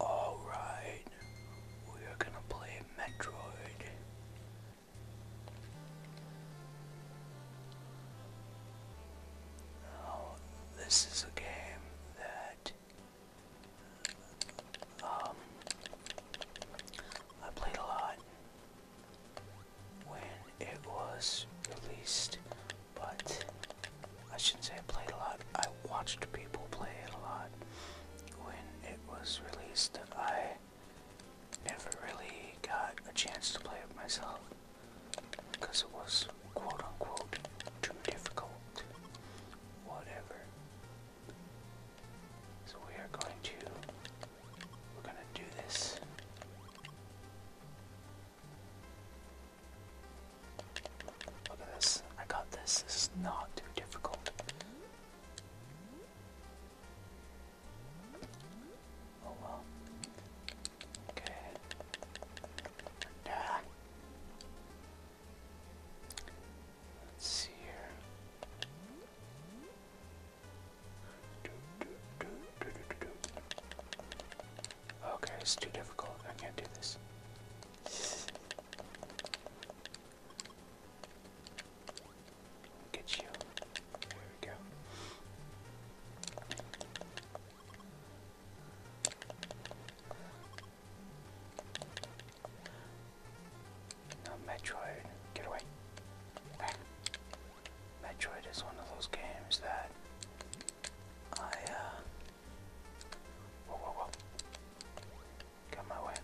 Alright, we are gonna play Metroid. this is a game that um, I played a lot when it was released, but I shouldn't say I played a lot. I watched people play it a lot when it was released. I never really got a chance to play it myself because it was quote unquote too difficult. Whatever. we are going to we're gonna do this. Look at this. I got this. This is not too difficult. Oh well. Okay. see here. Okay, it's too difficult. I can't do this. Get you. There we go. Metroid. Get away. Metroid is one of those games that I, uh, Whoa, whoa, whoa. Got my way.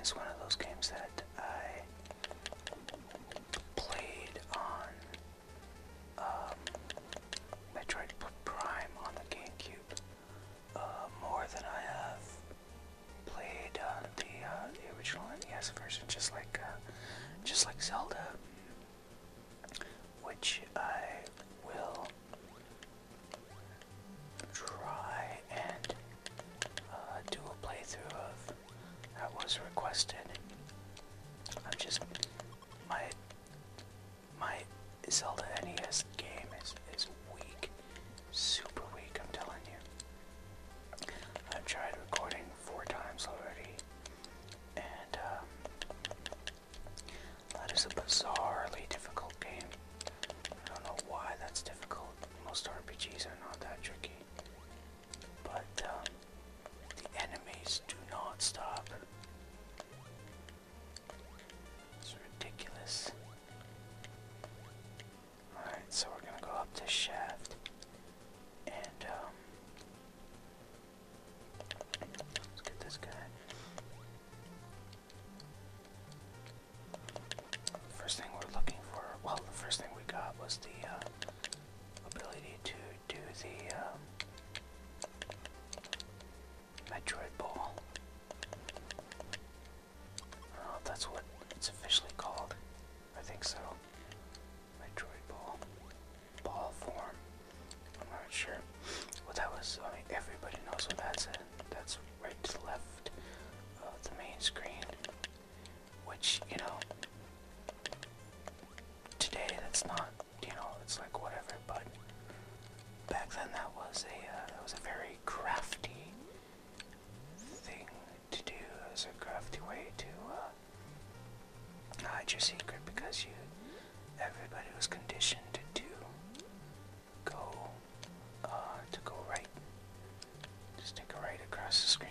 it's one of those games that I played on um, Metroid Prime on the GameCube uh, more than I have played uh, the uh, the original NES version, just like uh, just like Zelda, which I will try and uh, do a playthrough of. That was requested. I'm just my my Zelda NES game is weak. Super weak, I'm telling you. I've tried recording four times already, and um, that is a bizarrely difficult game. I don't know why that's difficult. Most RPGs are not that tricky. But um, the enemies do not stop. It's ridiculous. Alright, so we're gonna go up this shaft and um, let's get this guy. First thing we're looking for, well, the first thing we got was the uh, ability to do the um, Metroid Ball. Oh, that's what it's officially called. I think so. Metroid Ball. Ball form. I'm not sure. Well, that was, I mean, everybody knows what that's in. That's right to the left of the main screen. Which, you know, today that's not, you know, it's like whatever, but back then that was a, uh, that was a very crafty thing to do as a crafty way to uh, hide your secret because you everybody was conditioned to go uh, to go right. Just take a right across the screen.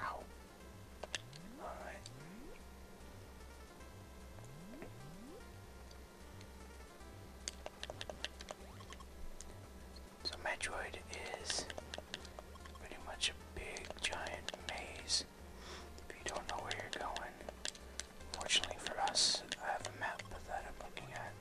Ow. Alright. So Metroid is pretty much a big giant maze. If you don't know where you're going. Fortunately for us, I have a map that I'm looking at.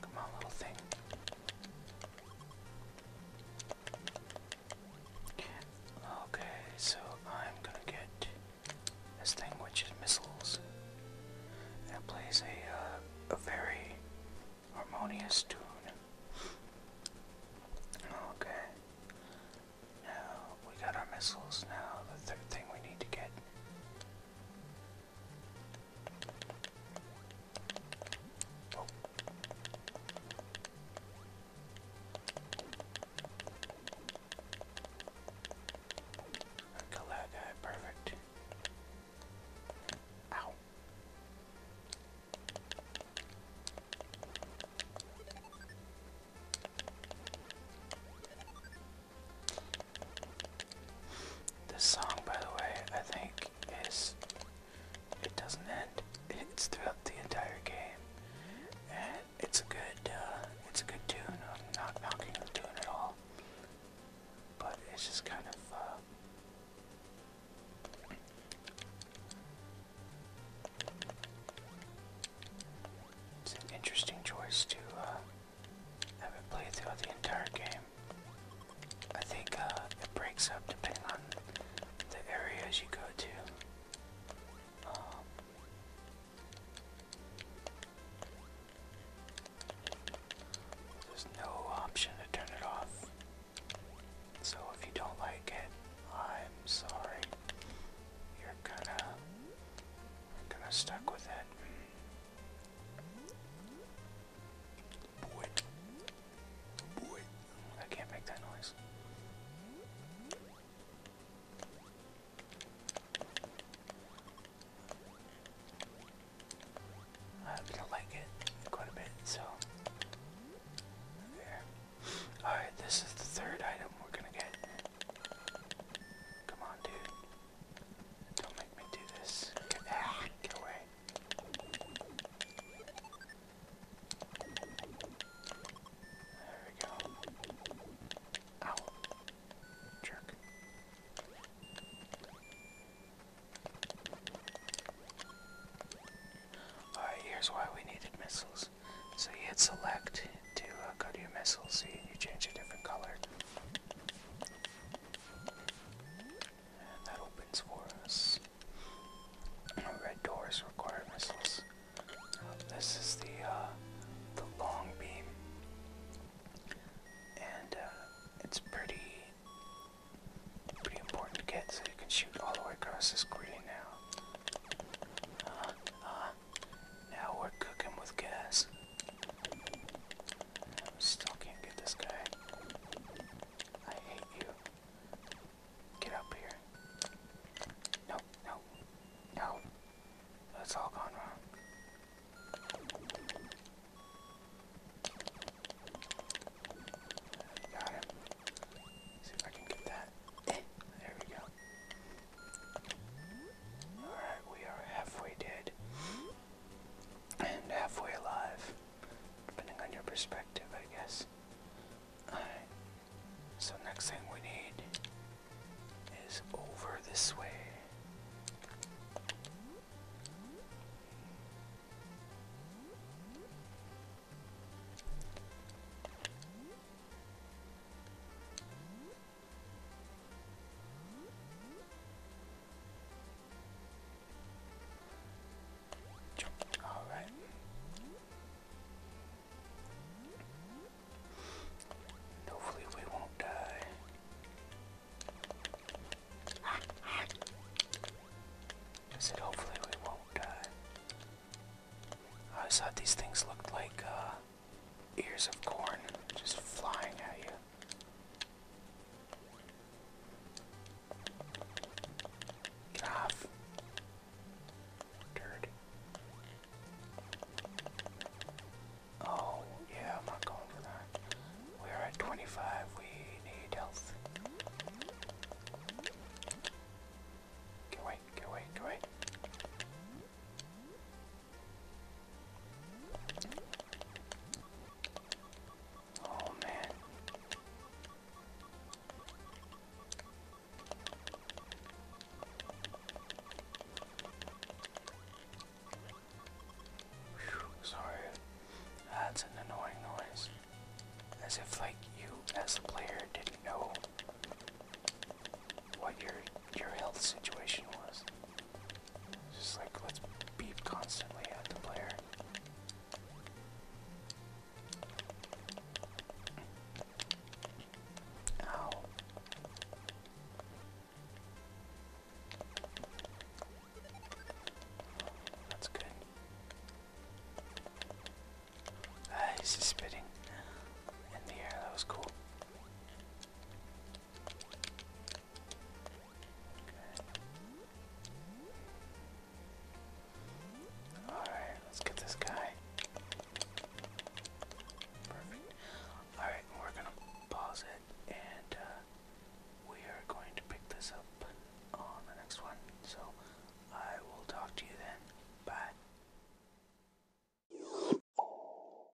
Come on, little thing. Okay, so I'm gonna get this thing, which is missiles. that plays a, uh, a very harmonious tune. Okay. Now, we got our missiles. Now, the third thing we need to get Oh. Kill that guy, perfect. Ow. This song, by the way, I think is. It doesn't end. It's throughout the entire game, and it's a good, uh, it's a good tune. I'm not knocking the tune at all, but it's just kind of. Uh, it's an interesting choice to uh, I would play throughout the entire game. I think uh, it breaks up depending on the areas you go to. Um, no option to turn it off. So if you don't like it, I'm sorry. You're kinda, you're stuck with it. Boy. Boy. I can't make that noise. I hope you like it quite a bit, so Alright, this is the third item we're gonna get. Come on, dude. Don't make me do this. Get, ah, get away. There we go. Ow. Jerk. Alright, here's why we needed missiles. So you hit select to uh, go to your missiles. see, and you change a different color. And that opens for us. Red doors require missiles. This is the uh, the long beam, and uh, it's pretty pretty important to get so you can shoot all the way across this screen now. Uh, uh now we're cooking with gas. Still can't get this guy. I hate you. Get up here. No, no, no. That's all gone wrong. Got him. See if I can get that. Eh, there we go. Alright, we are halfway dead and halfway alive, depending on your perspective, I guess. Alright, so next thing we need is over this way. All right. Hopefully we won't die. I said hopefully we won't die. I always thought these things looked like uh, ears of corn just flying at you. Get off. Dirt. Oh, yeah, I'm not going for that. We're at 25. We need health. Get away, get away, get away. Oh, man. sorry, that's an annoying noise. As if, like, you, as a player, didn't know what your your health situation was. Just like let's beep constantly at the player. Ow. That's good. he's ah, spitting in the air. That was cool. Alright, let's get this guy. Alright, we're gonna pause it and uh, we are going to pick this up on the next one. So I will talk to you then. Bye.